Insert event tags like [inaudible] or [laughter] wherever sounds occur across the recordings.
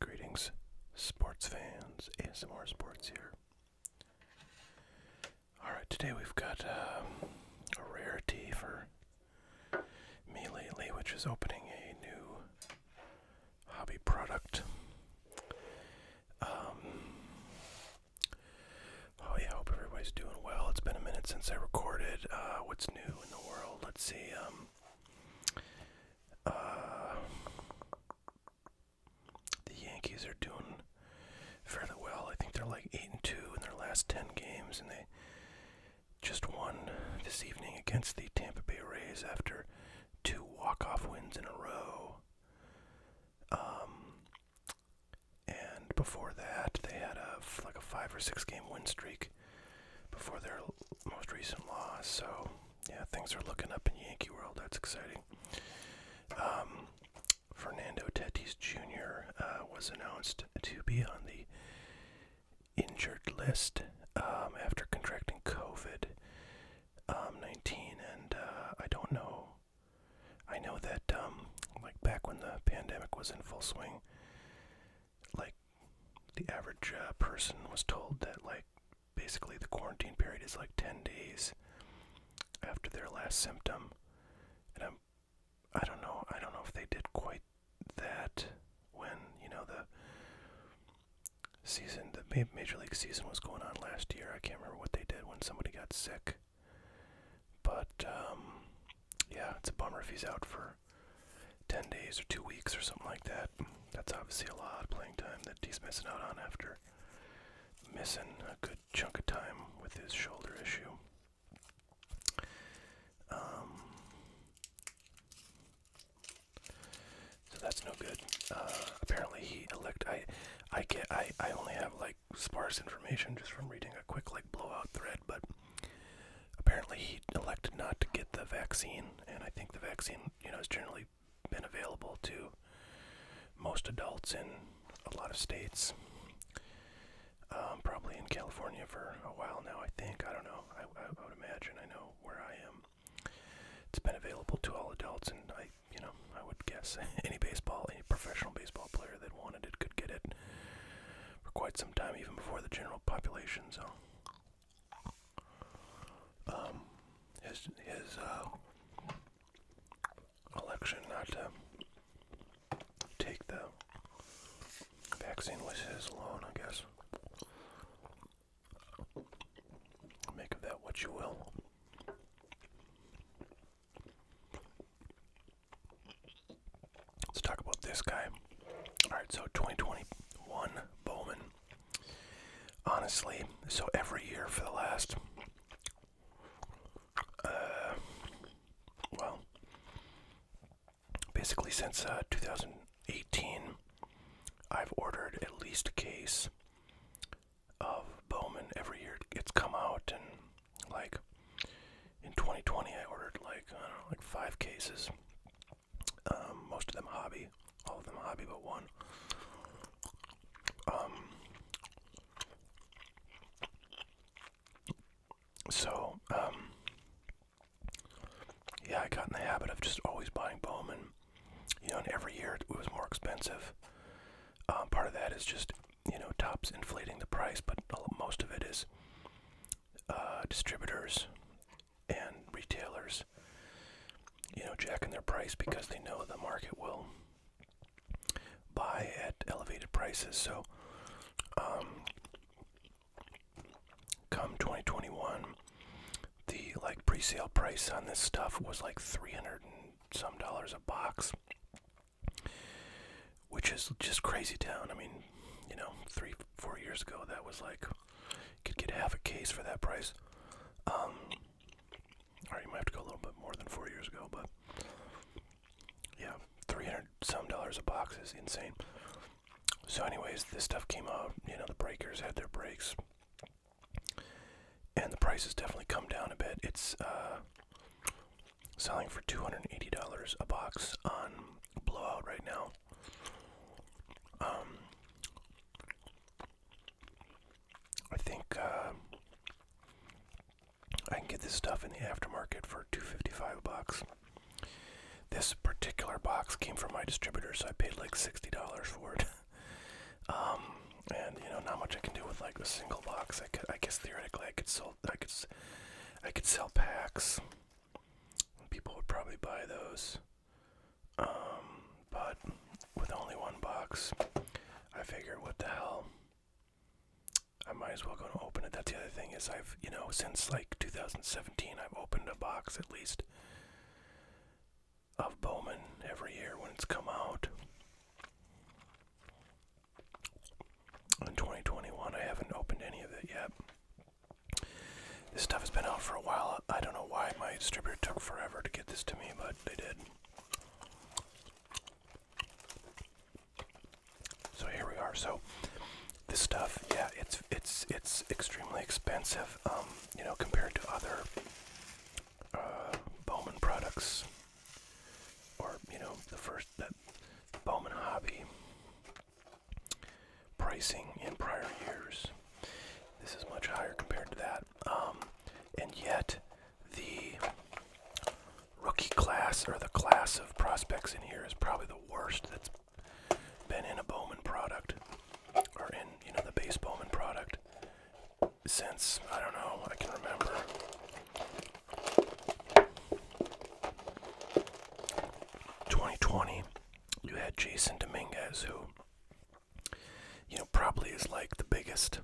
Greetings, sports fans. ASMR Sports here. Alright, today we've got uh, a rarity for me lately, which is opening a new hobby product. Um, oh, yeah, I hope everybody's doing well. It's been a minute since I recorded. Uh, what's new in the world? Let's see. Um, uh, the Yankees are doing fairly well. I think they're like eight and two in their last ten games, and they just won this evening against the Tampa Bay Rays after two walk-off wins in a row. Um, and before that, they had a like a five or six game win streak before their most recent loss. So, yeah, things are looking up in Yankee world. That's exciting. Um, Fernando Tatis Jr. Uh, was announced to be on the injured list um, after contracting COVID um, 19, and uh, I don't know. I know that, like back when the pandemic was in full swing, like the average uh, person was told that like basically the quarantine period is like 10 days after their last symptom and I'm I don't know I don't know if they did quite that when you know the season the major league season was going on last year I can't remember what they did when somebody got sick but um yeah it's a bummer if he's out for 10 days or two weeks or something like that. That's obviously a lot of playing time that he's missing out on after missing a good chunk of time with his shoulder issue. Um, so that's no good. Uh, apparently he elect. I, I get. I, I only have like sparse information just from reading a quick like blowout thread, but apparently he elected not to get the vaccine, and I think the vaccine you know, has generally been available to most adults in a lot of states. Um, probably in California for a while now, I think. I don't know. I, I, I would imagine. I know where I am. It's been available to all adults, and I, you know, I would guess [laughs] any baseball, any professional baseball player that wanted it could get it for quite some time, even before the general population. So um, his his uh, election not to take the vaccine was his alone, I guess. Make of that what you will. Let's talk about this guy. All right, so 2021 Bowman honestly. So every year for the last, uh, well, basically since uh, 2018, I've ordered at least a case of Bowman every year. It's come out, and like in 2020, I ordered like I don't know, like five cases. Um, most of them hobby, all of them hobby, but one. Um, so, um, yeah, I got in the habit of just always buying Bowman. You know, and every year it was more expensive. part of that is just, you know, tops inflating the price, but most of it is uh, distributors and retailers, you know, jacking their price because they know the market will buy at elevated prices. So, um, come 2021, the like pre-sale price on this stuff was like 300 and some dollars a box, which is just crazy town. I mean, you know, three, four years ago, that was like you could get half a case for that price. Um, or you might have to go a little bit more than four years ago, but yeah, 300 some dollars a box is insane. So, anyways, this stuff came out. You know, the breakers had their breaks, and the price has definitely come down a bit. It's uh, selling for $280 a box on Blowout right now. Um, I think uh, I can get this stuff in the aftermarket for 255 bucks. This particular box came from my distributor, so I paid like $60 for it. [laughs] Um, and you know, not much I can do with like a single box. I, could, I guess theoretically I could sell I could I could sell packs. People would probably buy those. Um, but with only one box, I figured, what the hell? I might as well go and open it. That's the other thing is I've, you know, since like 2017, I've opened a box at least of Bowman every year when it's come out. In 2021, I haven't opened any of it yet. This stuff has been out for a while. I don't know why my distributor took forever to get this to me, but they did. So here we are. So this stuff, yeah, it's it's it's extremely expensive, um, you know, compared to other uh, Bowman products, or you know, the first Bowman hobby pricing in prior years. This is much higher compared to that. Um, and yet, the rookie class or the class of prospects in here is probably the worst that's been in a Bowman product or in, you know, the base Bowman product since, I don't know, I can remember. Twenty twenty, you had Jason Dominguez, who you know, probably is like the biggest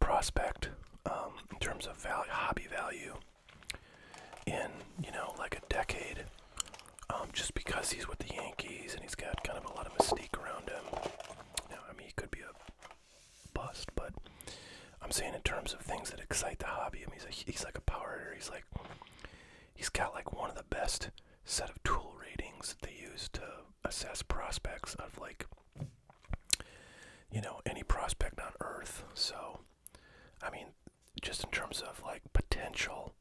prospect um, in terms of value, hobby value in, you know, like a decade. Um, just because he's with the Yankees and he's got kind of a lot of mystique around him. Now, I mean, he could be a bust, but I'm saying in terms of things that excite the hobby. I mean, he's, a, he's like a power hitter. He's like, he's got like one of the best set of tool ratings that they use to assess prospects of like you know any prospect on earth so i mean just in terms of like potential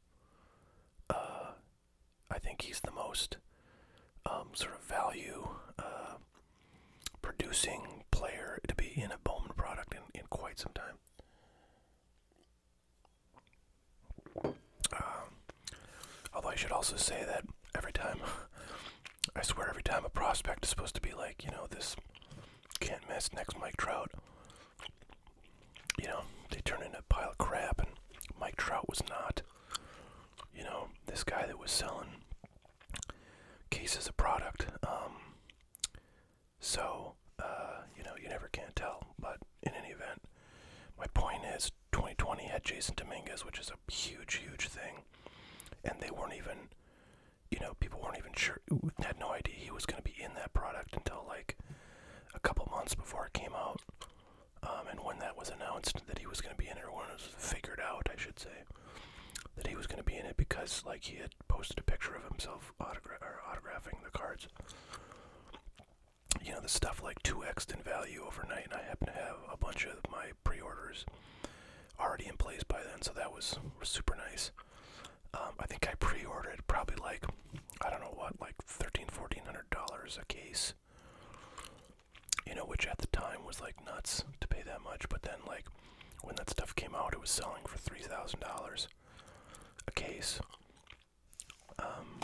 uh i think he's the most um sort of value uh, producing player to be in a bowman product in, in quite some time um, although I should also say that every time, [laughs] I swear, every time a prospect is supposed to be like, you know, this can't miss next Mike Trout, you know, they turn into a pile of crap, and Mike Trout was not. You know, this guy that was selling cases of product. Um, so, uh, you know, you never can tell. But in any event, my point is 2020 had Jason Dominguez, which is a huge, huge thing. And they weren't even, you know, people weren't even sure, had no idea he was going to be in that product until like a couple months before it came out. Um, and when that was announced that he was going to be in it, or when it was figured out, I should say, that he was going to be in it because like he had posted a picture of himself autographing the cards you know, the stuff like 2x in value overnight, and I happen to have a bunch of my pre orders already in place by then, so that was super nice. Um, I think I pre ordered probably like, I don't know what, like 1300 dollars a case, you know, which at the time was like nuts to pay that much, but then, like, when that stuff came out, it was selling for $3,000 a case. Um,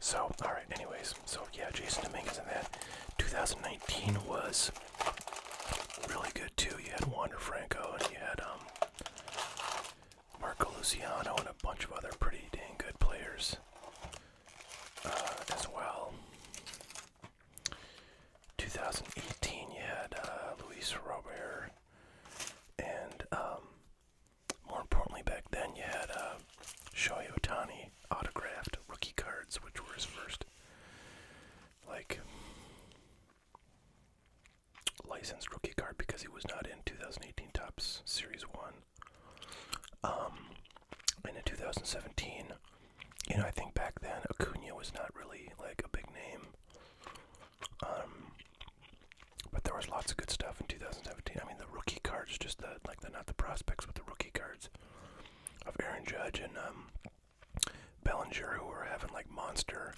so, alright, anyways, so yeah, Jason Dominguez in that. 2019 was really good too. You had Wander Franco and you had um, Marco Luciano and a bunch of other pretty dang good players uh, as well. 2018, you had uh, Luis Robert and um, more importantly, back then you had uh, Shohei Otani autographed rookie cards, which were his first, like, licensed rookie card because he was not in 2018 Tops Series 1. Um, and in 2017, you know, I think back then Acuna was not really like a big name. Um, but there was lots of good stuff in 2017. I mean, the rookie cards, just the like the not the prospects, but the rookie cards of Aaron Judge and um, Bellinger, who were having like monster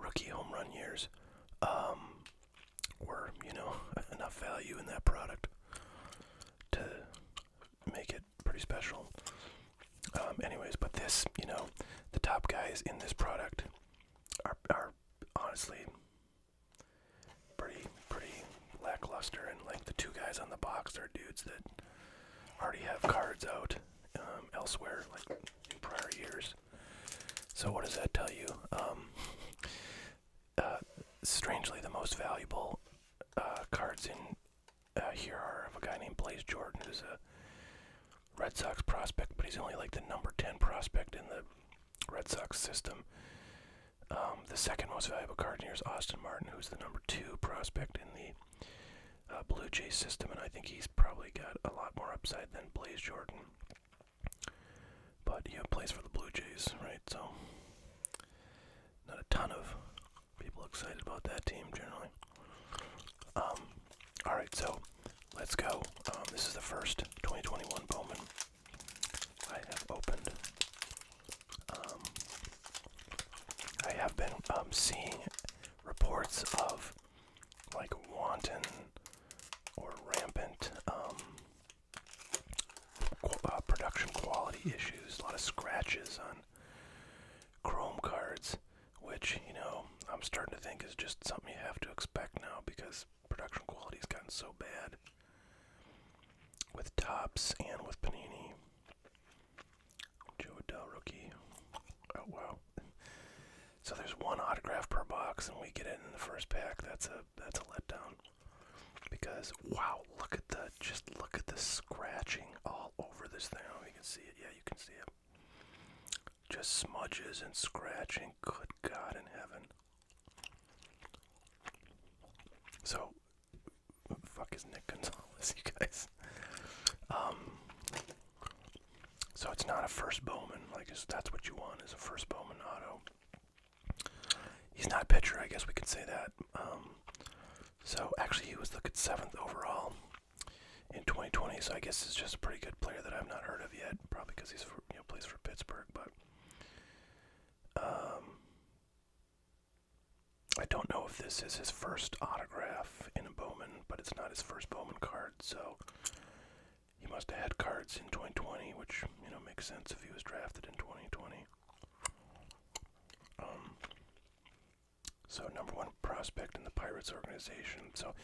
rookie home run years, um, were you know [laughs] enough value in that product to make it pretty special. Um, anyways, but this, you know, the top guys in this product are are honestly pretty pretty lackluster and like the two guys on the box are dudes that already have cards out um, elsewhere like in prior years so what does that tell you um, uh, strangely the most valuable uh, cards in uh, here are of a guy named Blaze Jordan who's a Red Sox prospect but he's only like the number 10 prospect in the Red Sox system. Um, the second most valuable card here is Austin Martin, who's the number two prospect in the uh, Blue Jays system, and I think he's probably got a lot more upside than Blaze Jordan. But he plays for the Blue Jays, right? So, not a ton of people excited about that team generally. Um, all right, so let's go. Um, this is the first 2021 Bowman. I have opened. Um, I have been um, seeing reports of like wanton or rampant um, uh, production quality issues, a lot of scratches on Chrome cards, which, you know, I'm starting to think is just something you have to expect now because because production quality's gotten so bad with Tops and with Panini. Joe Adele rookie. Oh wow. So there's one autograph per box and we get it in the first pack. That's a that's a letdown. Because wow, look at the just look at the scratching all over this thing. Oh you can see it. Yeah, you can see it. Just smudges and scratching. Good God in heaven. So, fuck is Nick Gonzalez, [laughs] you guys? Um, so it's not a first Bowman. Like that's what you want is a first Bowman auto. He's not a pitcher, I guess we could say that. Um, so actually, he was the at seventh overall in 2020. So I guess it's just a pretty good player that I've not heard of yet. Probably because he's you know plays for Pittsburgh, but um, I don't know if this is his first autograph in a Bowman, but it's not his first Bowman card, so he must have had cards in 2020, which you know makes sense if he was drafted in 2020. Um, so number one prospect in the Pirates organization. So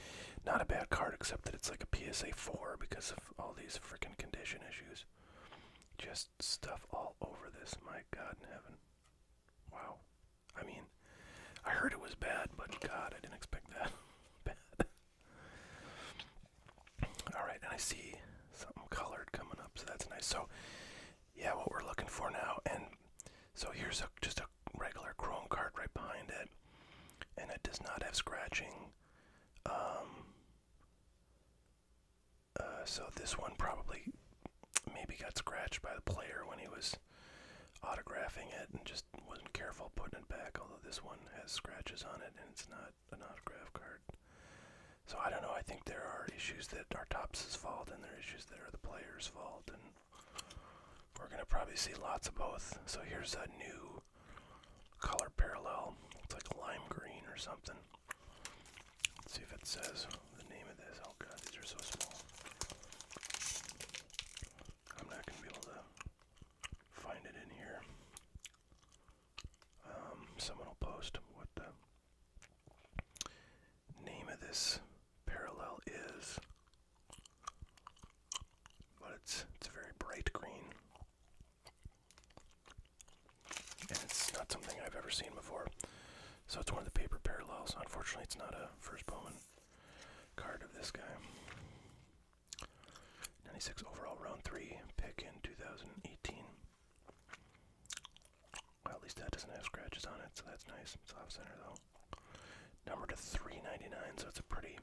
not a bad card, except that it's like a PSA four because of all these freaking condition issues. Just stuff all over this. My God in heaven. Wow. I mean, I heard it was bad, but God, I didn't expect that [laughs] bad. all right, and I see something colored coming up, so that's nice. So, yeah, what we're looking for now, and so here's a, just a regular chrome card right behind it, and it does not have scratching. Um, uh, so this one probably maybe got scratched by the player when he was autographing it and just wasn't careful putting it back. Although this one has scratches on it and it's not an autograph card. So I don't know. I think there are issues that are Topps' fault and there are issues that are the player's fault, and we're gonna probably see lots of both. So here's a new color parallel. It's like lime green or something. Let's see if it says the name of this. Oh god, these are so small. I'm not gonna be able to find it in here. Um, someone will post what the name of this parallel is. But it's it's a very bright green. And it's not something I've ever seen before. So it's one of the paper parallels. Unfortunately, it's not a first Bowman card of this guy. 96 overall, round 3 pick in 2018. at least that doesn't have scratches on it, so that's nice. It's off center, though. Number to 399, so it's a pretty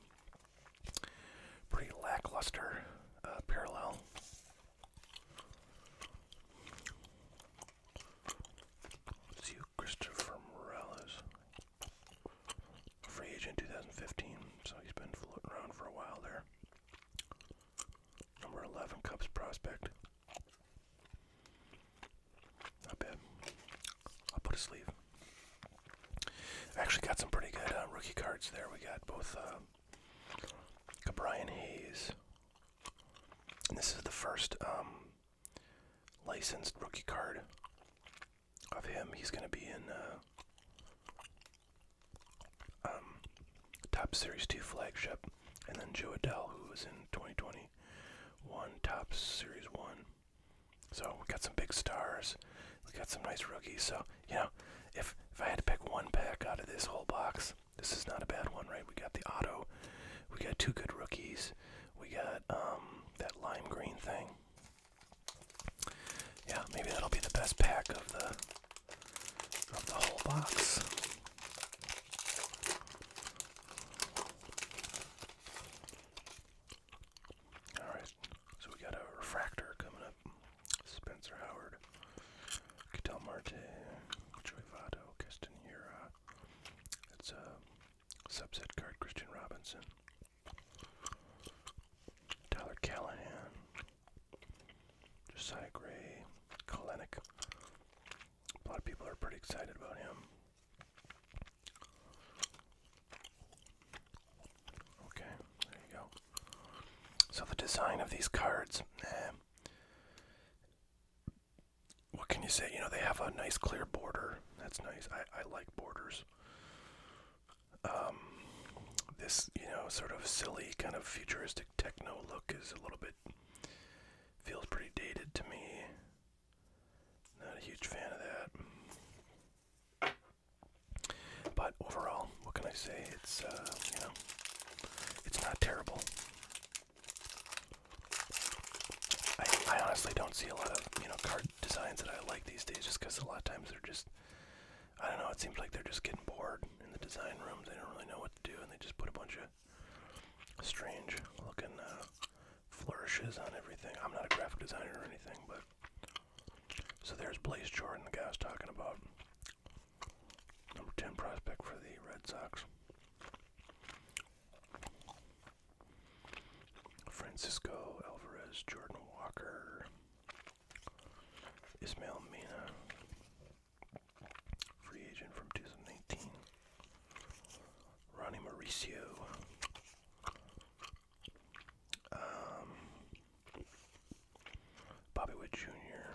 pretty lackluster uh, parallel. see Christopher Morel Free agent 2015, so he's been floating around for a while there. Number 11 Cubs prospect. Not bad. I'll put a sleeve. Actually, got some pretty good uh, rookie cards there. We got both uh, Hayes. And this is the first um, licensed rookie card of him. He's going to be in uh, um, Top Series 2 flagship. And then Joe Adele, who was in 2021 Top Series 1. So we got some big stars. We got some nice rookies. So you know, if if I had to pick one pack out of this whole box, this is not a bad one, right? We got the auto, we got two good rookies, we got um, that lime green thing. Yeah, maybe that'll be the best pack of the of the whole box. Alright, so we got a refractor coming up. Spencer Howard, Catel Marte, Joey Votto, Keston Hira. It's a subset card, Christian Robinson. Tyler Callahan, Josiah Gray, Kalenic. A lot of people are pretty excited about him. Okay, there you go. So the design of these cards, eh, what can you say? You know, they have a nice clear border. That's nice. I, I like borders. Um, this, you know, sort of silly kind of futuristic techno look is a little bit feels pretty dated to me. Not a huge fan of that. But overall, what can I say? It's uh, you know, it's not terrible. I, I honestly don't see a lot of you know card designs that I like these days, just because a lot of times they're just I don't know. It seems like they're just getting bored in the design rooms. They don't really know what to do, and they just put a bunch of strange looking uh, flourishes on everything. I'm not a graphic designer or anything, but so there's Blaze Jordan, the guy's talking about. Number 10 prospect for the Red Sox. Francisco Alvarez, Jordan Walker, Ismail Mina, free agent from 2019, Ronnie Mauricio, um, Bobby Witt Jr.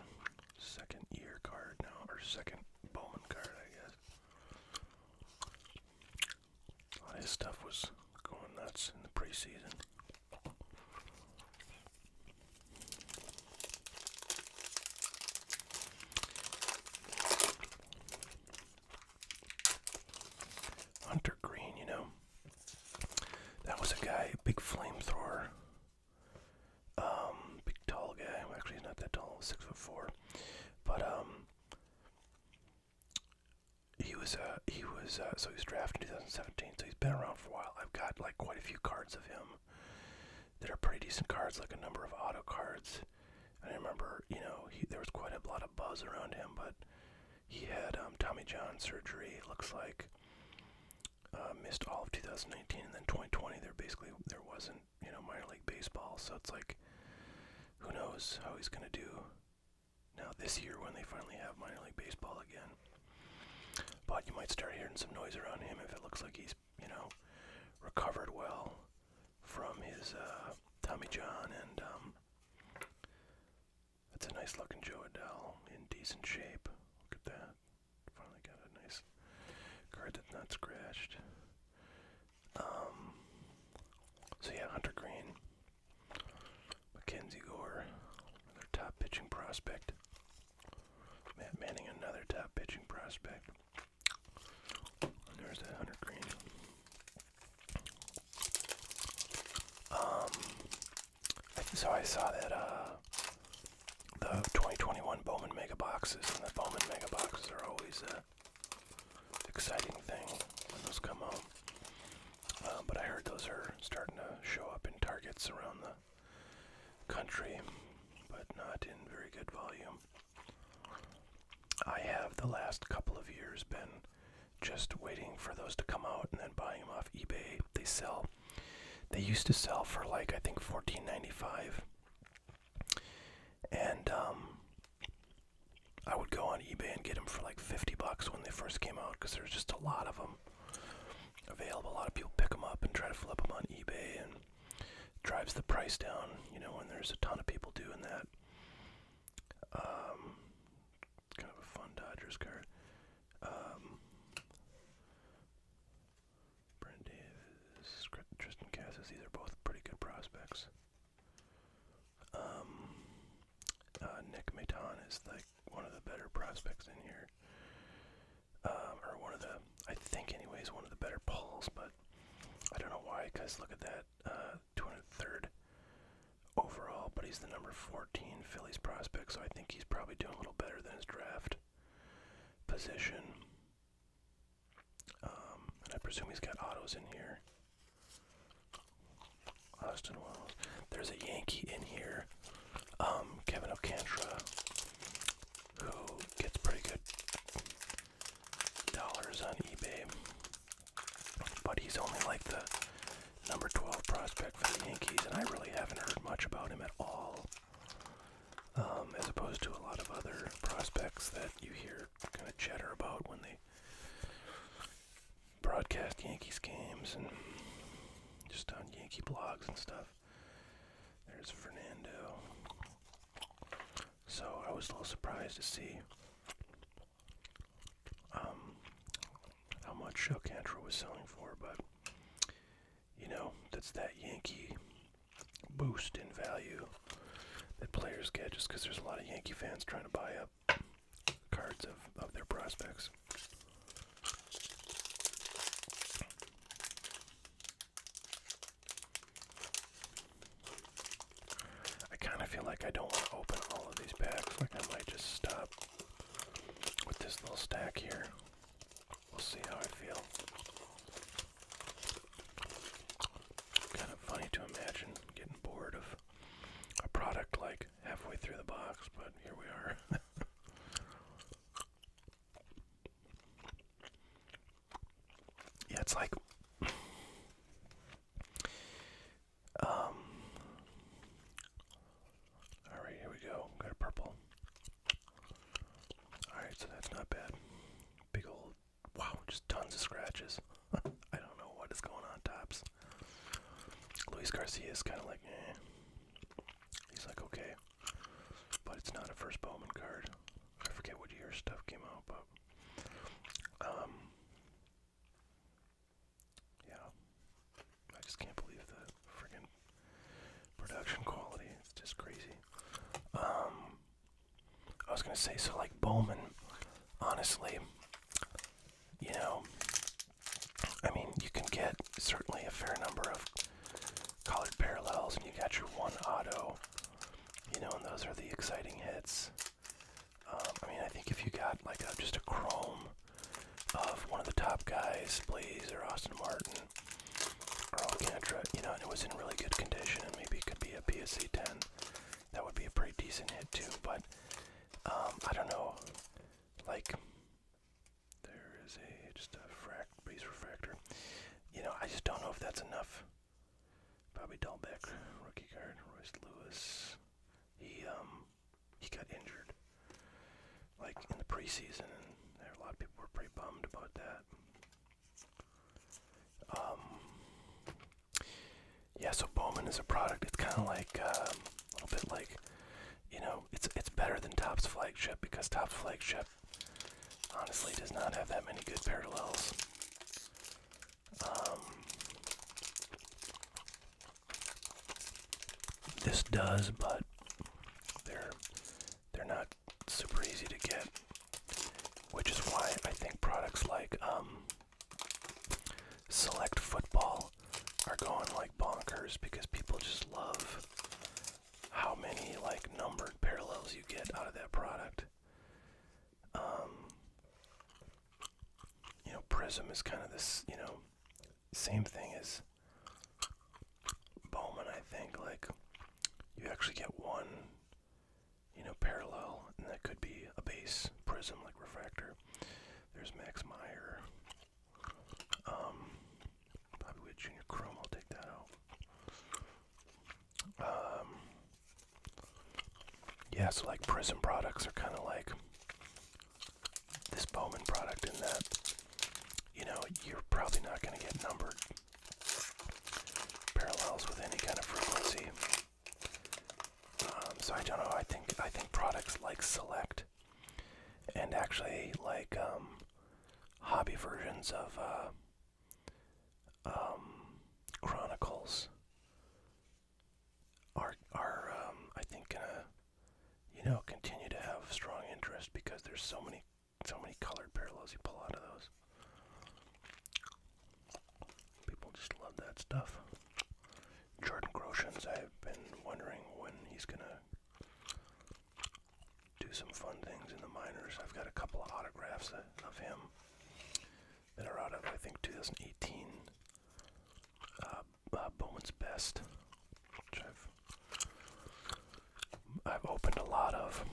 Second year card now, or second Bowman card, I guess. A lot his stuff was going nuts in the preseason. Hunter Green, you know, that was a guy, a big flamethrower. Um, big tall guy. actually, he's not that tall. Six foot four. But um, he was uh he was uh, so he was drafted in 2017. So he's been around for a while. I've got like quite a few cards of him they are pretty decent cards, like a number of auto cards. I remember, you know, there was quite a lot of buzz around him, but he had um, Tommy John surgery. It looks like uh, missed all of 2019 and then 2020 there basically there wasn't you know minor league baseball so it's like who knows how he's gonna do now this year when they finally have minor league baseball again but you might start hearing some noise around him if it looks like he's you know recovered well from his uh, Tommy John and um, that's a nice looking Joe Adele in decent shape. Look at that. Finally got a nice card that's not scratched. Um, so yeah, Hunter Green, Mackenzie Gore, another top pitching prospect. Matt Manning, another top pitching prospect. there's that Hunter Green. Um, so I saw that uh, the 2021 Bowman Mega Boxes, and the Bowman Mega Boxes are always an exciting thing when those come out. Uh, but I heard those are starting to show up in Targets around the country, but not in very good volume. I have the last couple of years been just waiting for those to come out and then buying them off eBay. They sell they used to sell for like I think $14.95. And um, I would go on eBay and get them for like 50 bucks when they first came out because there's just a lot of them available. A lot of people pick them up and try to flip them on eBay and drives the price down, you know, and there's a ton of people doing that. it's um, kind of a fun Dodgers card. Um, Tristan Cassis, these are both pretty good prospects. Um, uh, Nick Maton is like one of the better prospects in here. Um, or one of the, I think anyways, one of the better pulls, but I don't know why, because look at that, 203rd uh, overall, but he's the number 14 seen Philly's prospects, so I think he's probably doing a little better than his draft position. Um, and I presume he's got autos in here. Austin Wells. There's a Yankee in here, um, Kevin Okantra, who gets pretty good dollars on eBay, but he's only like the number 12 prospect for the Yankees, and I really haven't heard much about him at all, um, as opposed to a lot of other prospects that you hear kind of chatter about when they broadcast Yankees games and just on Yankee blogs and stuff. There's Fernando. So I was a little surprised to see um, how much uh, Cantrell was selling for, but you know, that's that Yankee boost in value that players get just because there's a lot of Yankee fans trying to buy up cards of, of their prospects. I kind of feel like I don't want to open all of these packs. Like I might just stop with this little stack here. We'll see how I feel. Kind of funny to imagine getting bored of a product like halfway through the box, but here we are. [laughs] yeah, it's like. Um, Alright, here we go. Got a purple. Alright, so that's not bad. Big old. Wow, just tons of scratches. [laughs] I don't know what is going on, tops. Luis Garcia is kind of like, eh. He's like, okay. But it's not a first Bowman card. I forget what year stuff came out, but. Um. Yeah. I just can't believe the friggin' production quality. It's just crazy. Um, I was gonna say, so like Bowman, honestly, you know, I mean, you can get certainly a fair number of colored parallels, and you got your one auto, you know, and those are the exciting hits. Um, I mean, I think if you got like just a chrome of one of the top guys, Blazer, Austin Martin, or Alcantara, you know, and it was in really good condition and maybe it could be a PSC 10. That would be a pretty decent hit too, but um, I don't know. Like, there is a, just a fract, base refractor. You know, I just don't know if that's enough. Bobby Dahlbeck, rookie card, Royce Lewis. He, um, he got injured like in the preseason, a lot of people were pretty bummed about that. Um, yeah, so Bowman is a product. It's kind of like uh, a little bit like, you know, it's it's better than Top's flagship because Top's flagship honestly does not have that many good parallels. Um, this does, but they're they're not super easy to get, which is why I think products like um, Select Football are going like bonkers because people just love how many like numbered parallels you get out of that product. Um, you know, Prism is kind of this, you know, same thing as Bowman, I think. Like, you actually get one, you know, parallel, and that could be a base prism, like refractor. There's Max Meyer. Um, Bobby Wood Jr. Chrome, take that out. Um, yeah, so like Prism products are kind of like this Bowman product in that you know, you're probably not going to get numbered parallels with any kind of frequency. Um, so I don't know. I think I think products like Select and actually like um, hobby versions of uh, um, Chronicles are are I think gonna you know continue to have strong interest because there's so many so many colored parallels you pull out of those. People just love that stuff. Jordan Groshans, I've been wondering when he's gonna do some fun things in the minors. I've got a couple of autographs of him that are out of, I think, 2018 uh, uh, Bowman's Best, which I've I've opened a lot of.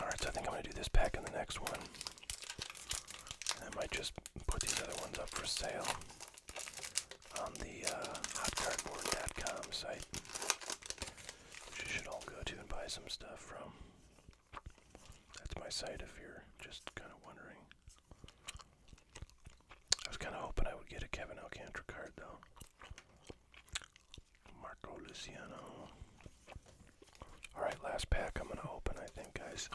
Alright, so I think I'm going to do this pack in the next one. I might just put these other ones up for sale on the uh, hotcardboard.com site, which you should all go to and buy some stuff from. That's my site if you're just kind of wondering. I was kind of hoping I would get a Kevin Alcantara card, though. Marco Luciano. Alright, last pack I'm going to open, I think, guys.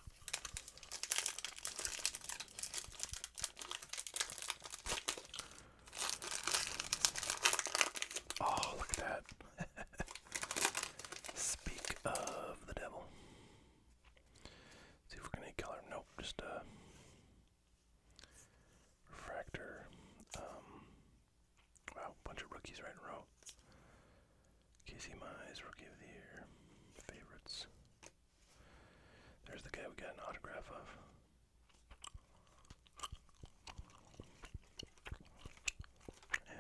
Oh, look at that. [laughs] Speak of the devil. see if we're going to color. Nope, just uh, Refractor. Um, wow, bunch of rookies right in a row. Casey Mize, Rookie of the Year. Favorites. There's the guy we got an autograph of.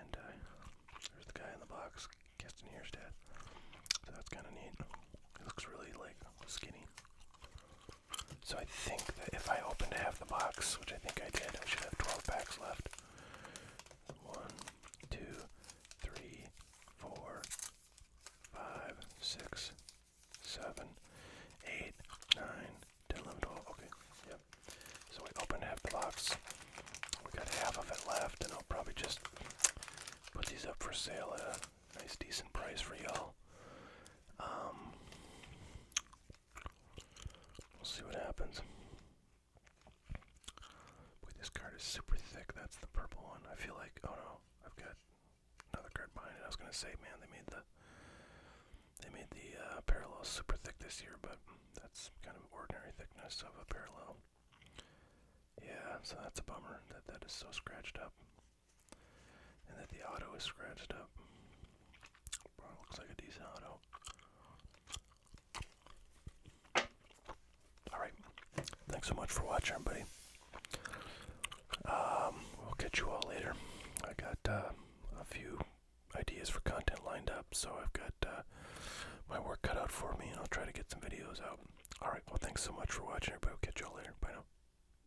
And uh, there's the guy in the box, Keston Hierstad. So that's kind of neat. looks really like skinny. So I think that if I opened half the box, which I think I did, I should have 12 packs left. One, two, three, four, five, six, seven, eight, nine, 10, 11, 12. Okay, yep. So we opened half the box. We got half of it left, and I'll probably just put these up for sale Nice, decent price for y'all. Um, we'll see what happens. Boy, this card is super thick. That's the purple one. I feel like, oh no, I've got another card behind it. I was gonna say, man, they made the they made the uh, super thick this year, but that's kind of ordinary thickness of a parallel. Yeah, so that's a bummer that that is so scratched up and that the auto is scratched up. looks like a decent auto. Alright, thanks so much for watching, everybody. Um, we'll catch you all later. I got uh, a few ideas for content lined up, so I've got uh, my work cut out for me, and I'll try to get some videos out. Alright, well, thanks so much for watching, everybody. We'll catch you all later. Bye now.